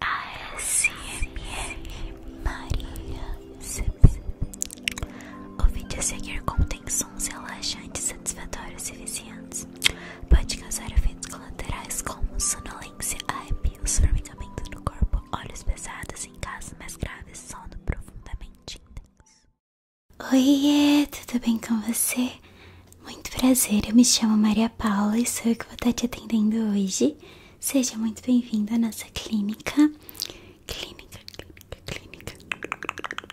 ASMR Maria CP. O vídeo seguir contém sons relaxantes, satisfatórios e viciantes. Pode causar efeitos colaterais como sonolência, arrepios, formigamento no corpo, olhos pesados em casos mais graves, sono profundamente intenso. Oiê, tudo bem com você? Muito prazer, eu me chamo Maria Paula e sou eu que vou estar te atendendo hoje. Seja muito bem-vindo à nossa clínica. Clínica, clínica, clínica.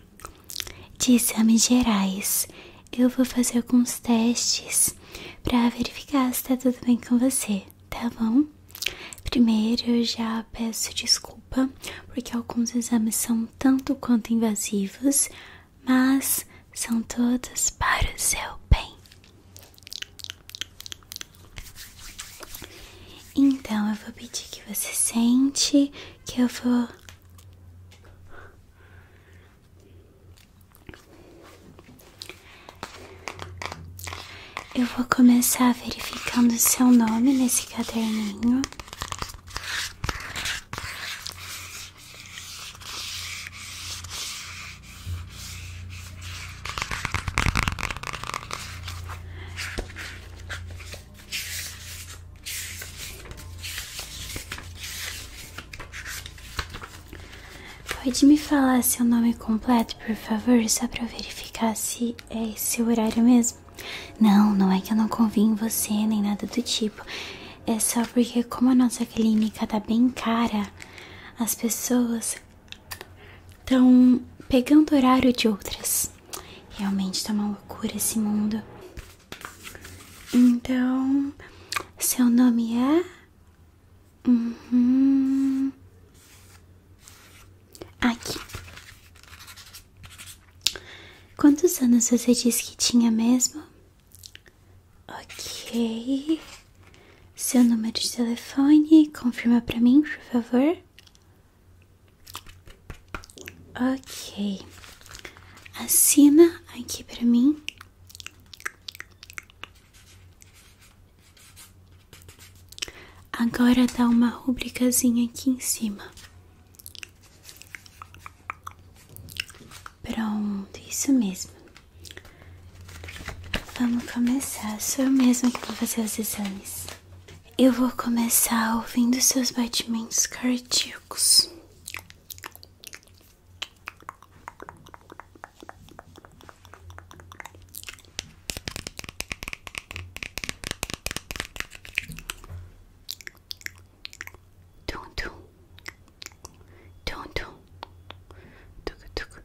De exames gerais. Eu vou fazer alguns testes para verificar se está tudo bem com você, tá bom? Primeiro, eu já peço desculpa porque alguns exames são tanto quanto invasivos, mas são todos para o seu bem. Então eu vou pedir que você sente, que eu vou Eu vou começar verificando o seu nome nesse caderninho. Pode me falar seu nome completo, por favor, só para verificar se é esse horário mesmo? Não, não é que eu não convie em você nem nada do tipo. É só porque, como a nossa clínica tá bem cara, as pessoas estão pegando horário de outras. Realmente tá uma loucura esse mundo. Então, seu nome é? Uhum. Aqui. Quantos anos você disse que tinha mesmo? Ok. Seu número de telefone, confirma para mim, por favor. Ok. Assina aqui para mim. Agora dá uma rubricazinha aqui em cima. Pronto, isso mesmo. Vamos começar. Sou eu mesma que vou fazer os exames. Eu vou começar ouvindo seus batimentos cardíacos. Tum tum. Tum tum. Tuk tuk.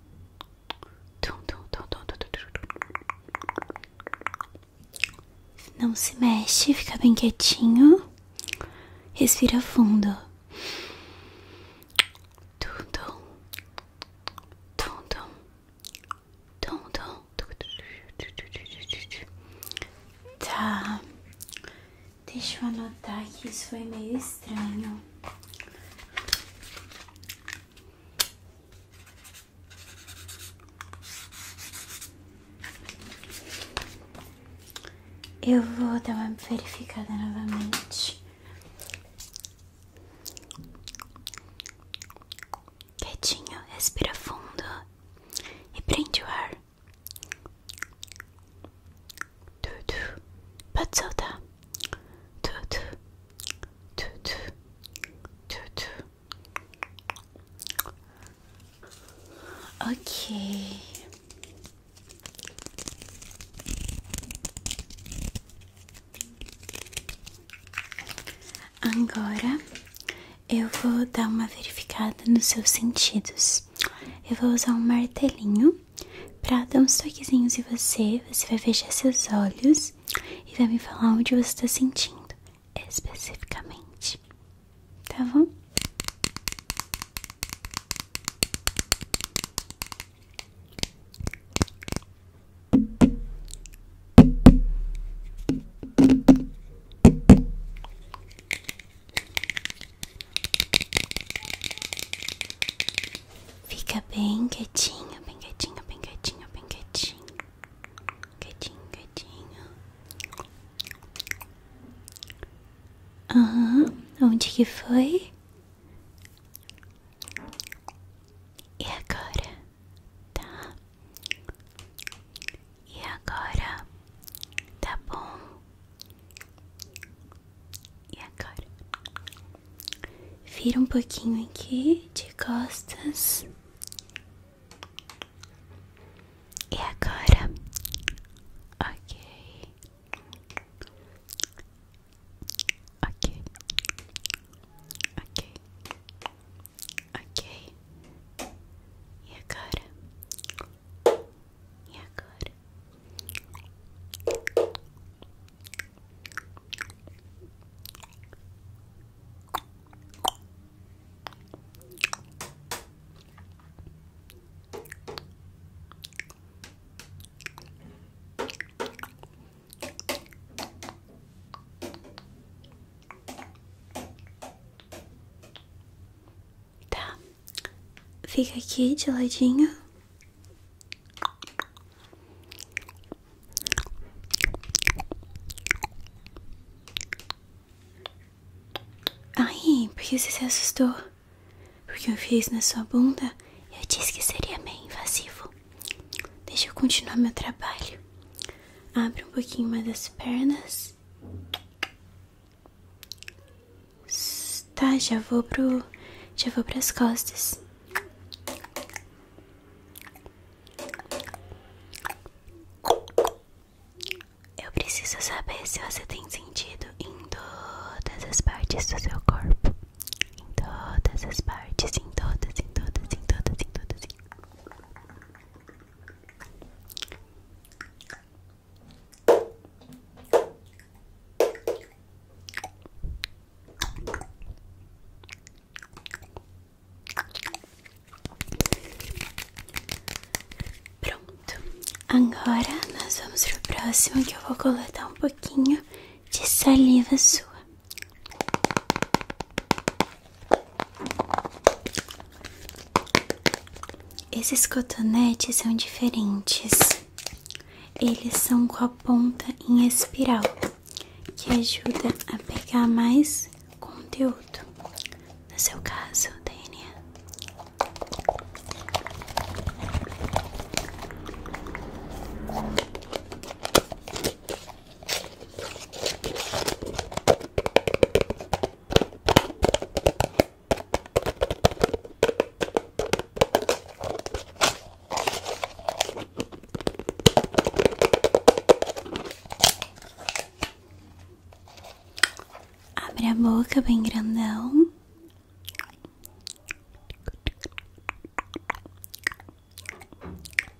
Tum tum tum tum tum tum. Não se mexe, fica bem quietinho. Respira fundo. Tum tum. Tum tum. Tum tum. Tá. Deixa eu anotar que isso foi meio estranho. Eu vou dar uma verificada novamente. Quietinho, respira fundo e prende o ar. Tudo batota. Tudo. Tudo. Tudo. Ok. Agora eu vou dar uma verificada nos seus sentidos. Eu vou usar um martelinho para dar uns toquezinhos em você. Você vai fechar seus olhos e vai me falar onde você está sentindo especificamente. Tá bom? Fica bem quietinho, bem quietinho, bem quietinho, bem quietinho. Quietinho, quietinho. Aham, onde que foi? E agora? Tá. E agora tá bom? E agora? Vira um pouquinho aqui de costas. E agora? Ok. Ok. Ok. Ok. E agora? E agora? Agora Tá, fica aqui de ladinho. Ai, por que você se assustou? Porque eu fiz na sua bunda e eu disse que seria meio invasivo. Deixa eu continuar meu trabalho. Abre um pouquinho mais as pernas. Tá, já vou pro. Já vou pras costas. Eu preciso saber se você tem sentido em todas as partes do seu corpo. Em todas as partes, em todas, em todas, em todas. Em todas. Pronto, agora nós vamos pro próximo que eu vou coletar um pouquinho de saliva sua. Esses cotonetes são diferentes. Eles são com a ponta em espiral, que ajuda a pegar mais conteúdo. No seu caso, Tânia. Abre a boca bem grandão.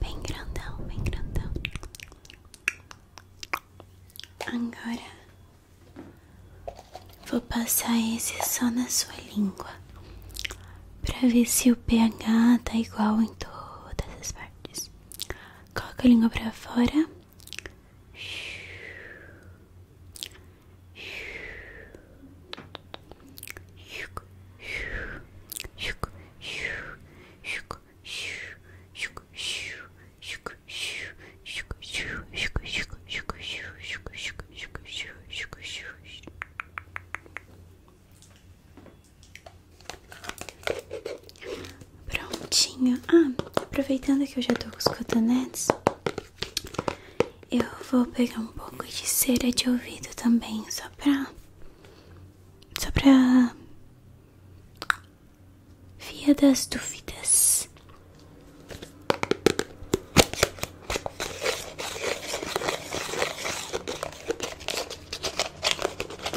Bem grandão, bem grandão. Agora vou passar esse só na sua língua para ver se o pH tá igual em todas as partes. Coloca a língua pra fora. Prontinho. Ah, aproveitando que eu já tô com os cotonetes, eu vou pegar um pouco de cera de ouvido também, só pra. Só pra. Via das dúvidas.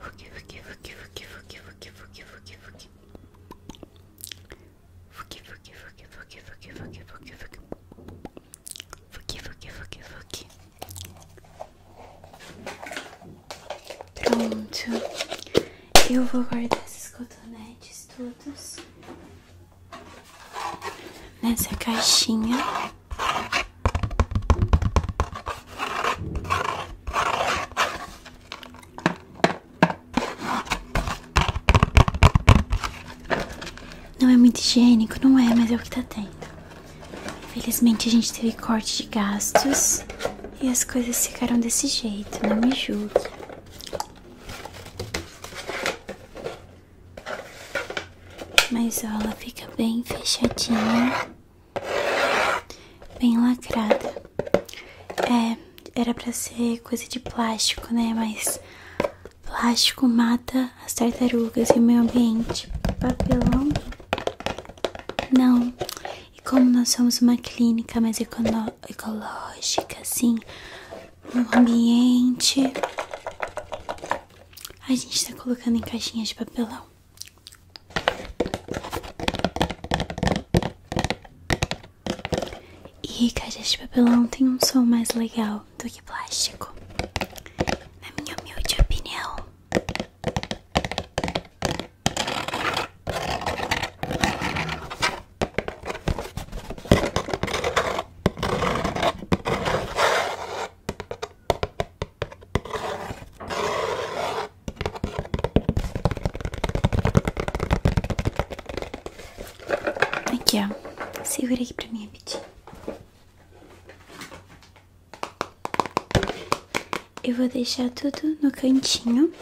Fuki, fuki, fuki, fuki, fuki, fuki, fuki, fuki, fuki. Fuki, fuki, fuki, fuki, fuki, fuki, Pronto. Eu vou guardar esses cotonetes todos nessa caixinha. Não é muito higiênico, não é, mas é o que tá tendo. Felizmente a gente teve corte de gastos e as coisas ficaram desse jeito, não me julgue. Mas ela fica bem fechadinha, bem lacrada. É, era pra ser coisa de plástico, né? Mas plástico mata as tartarugas e o meio ambiente. Papelão? Não. E como nós somos uma clínica mais ecológica, assim, o ambiente a gente está colocando em caixinhas de papelão. E caixas de papelão tem um som mais legal do que plástico. Na minha humilde opinião. Aqui, ó. Segura aqui pra mim rapidinho. Eu vou deixar tudo no cantinho.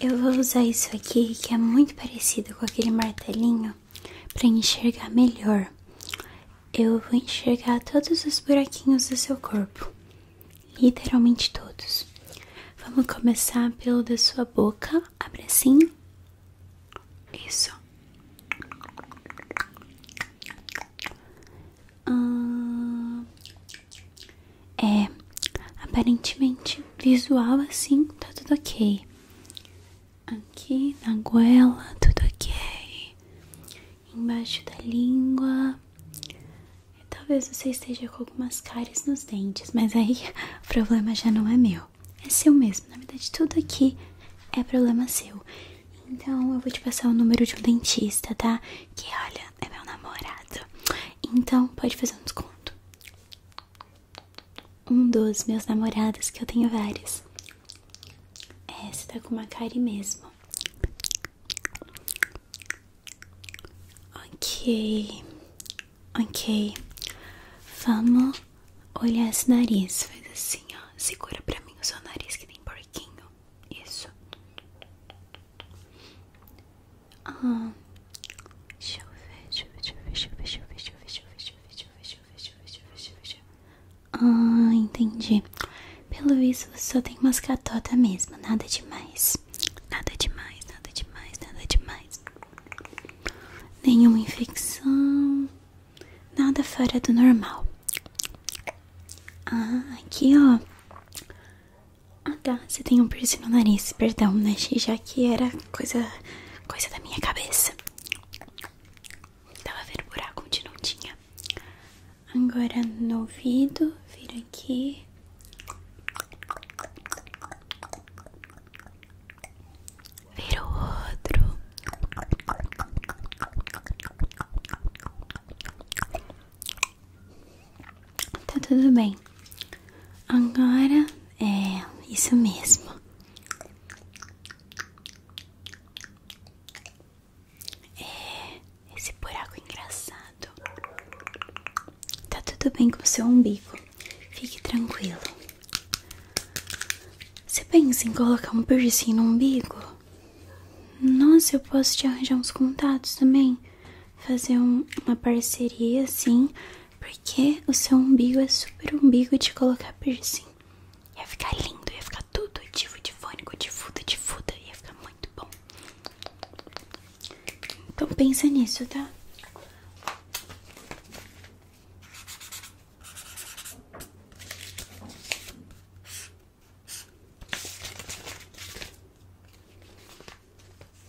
Eu vou usar isso aqui, que é muito parecido com aquele martelinho para enxergar melhor. Eu vou enxergar todos os buraquinhos do seu corpo, literalmente todos. Vamos começar pelo da sua boca, Abra assim. Isso. Ah, é aparentemente visual assim, tá tudo ok aqui na goela, tudo ok, embaixo da língua. Talvez você esteja com algumas cáries nos dentes, mas aí o problema já não é meu, é seu mesmo. Na verdade, tudo aqui é problema seu. Então eu vou te passar o número de um dentista, tá? Que olha, é meu namorado. Então pode fazer um desconto um dos meus namorados, que eu tenho vários. É, você tá com uma cara mesmo. Ok, ok. Vamos olhar esse nariz. Faz assim, ó. Segura pra mim o seu nariz que tem porquinho. Isso. Ah. deixa eu ver, deixa eu ver, deixa eu ver, ah, entendi. Pelo visto, você só tem umas catota mesmo. Nada demais. Nada demais, nada demais, nada demais. Nenhuma infecção. Nada fora do normal. Ah, aqui ó. Ah tá, você tem um piercing no nariz, perdão, né? Já que era coisa, coisa da minha cabeça. Tava vendo buraco onde não tinha. Agora no ouvido, vira aqui. Vira outro. Tá tudo bem. Agora é, isso mesmo. É, esse buraco é engraçado. Tá tudo bem com o seu umbigo. Fique tranquilo. Você pensa em colocar um piercing no umbigo? Nossa, eu posso te arranjar uns contatos também. Fazer uma parceria assim. Porque o seu umbigo é super umbigo de colocar piercing. Ia ficar lindo, ia ficar tudo de fuda de fuda, Ia ficar muito bom. Então pensa nisso, tá?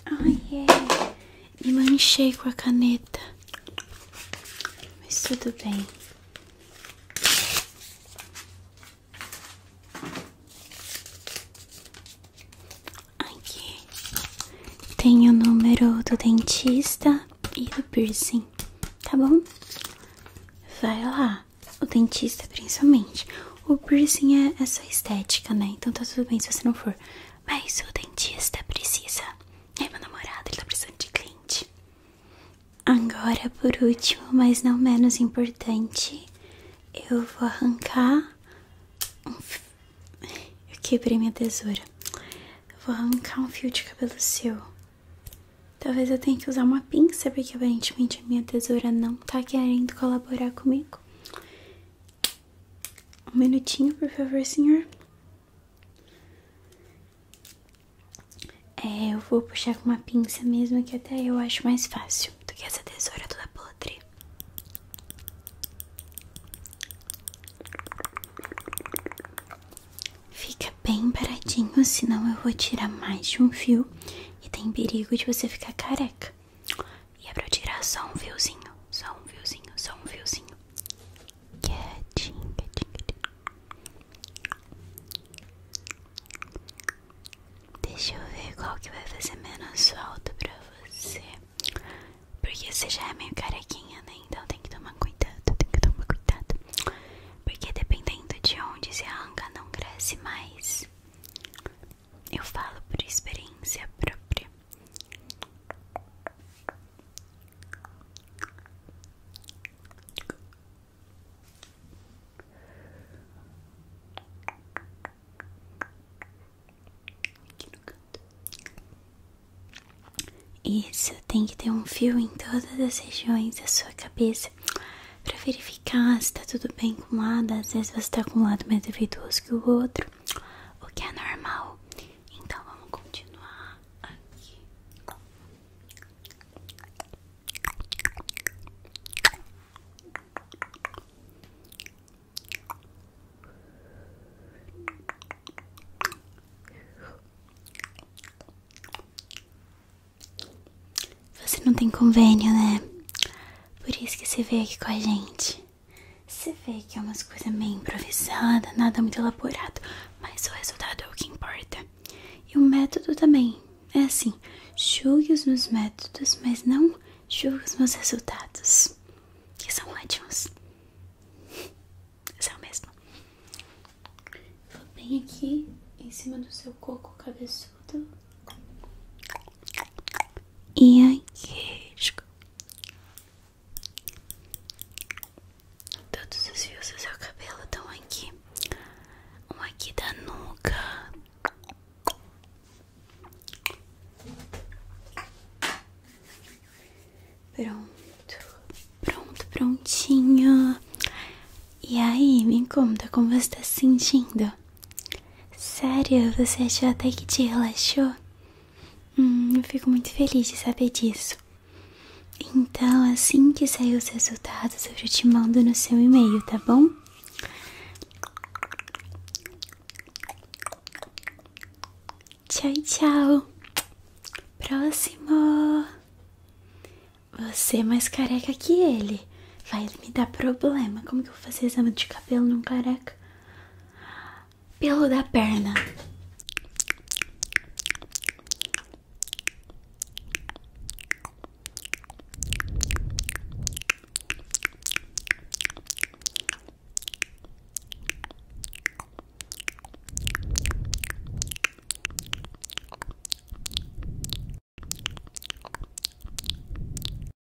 Ai, é. Me manchei com a caneta. Mas tudo bem. Aqui tem o número do dentista e do piercing, tá bom? Vai lá, o dentista principalmente. O piercing é essa estética, né? Então tá tudo bem se você não for. Mas o dentista precisa. É meu namorado, ele tá precisando de cliente. Agora, por último, mas não menos importante, eu vou arrancar. Um f... Eu quebrei minha tesoura. vou arrancar um fio de cabelo seu. Talvez eu tenha que usar uma pinça, porque aparentemente a minha tesoura não tá querendo colaborar comigo. Um minutinho, por favor, senhor. É, eu vou puxar com uma pinça mesmo, que até eu acho mais fácil do que essa tesoura toda podre. Fica bem paradinho, senão eu vou tirar mais de um fio e tem perigo de você ficar careca. E é pra eu tirar só um fiozinho, só um fiozinho, só um fiozinho. Quietinho, quietinho, quietinho. Deixa eu ver qual que vai fazer menos falta pra você. Porque você já é meio carequinha, né? Então tem que tomar cuidado, tem que tomar cuidado. Porque dependendo de onde se arranca, não cresce mais. Eu falo por experiência própria. Isso tem que ter um fio em todas as regiões da sua cabeça para verificar se tá tudo bem com um lado. Às vezes você tá com um lado mais defeituoso que o outro o que é normal. Então vamos continuar aqui. Você não tem convênio, né? Por isso que você veio aqui com a gente. Você vê que é umas coisas meio improvisada, nada muito elaborado, mas o resultado é o que importa. E o método também é assim: julgue os meus métodos, mas não julgue os meus resultados, que são ótimos. É o mesmo. Vou bem aqui em cima do seu coco cabeçudo. E aqui, Todos os fios do seu cabelo estão aqui. Um aqui da nuca. Pronto, pronto, prontinho. E aí, me conta como você está se sentindo? Sério, você achou até que te relaxou? Hum, eu fico muito feliz de saber disso. Então, assim que sair os resultados, eu te mando no seu e-mail, tá bom? Tchau, tchau. Próximo. Você é mais careca que ele. Vai me dar problema. Como que eu vou fazer exame de cabelo num careca? Pelo da perna.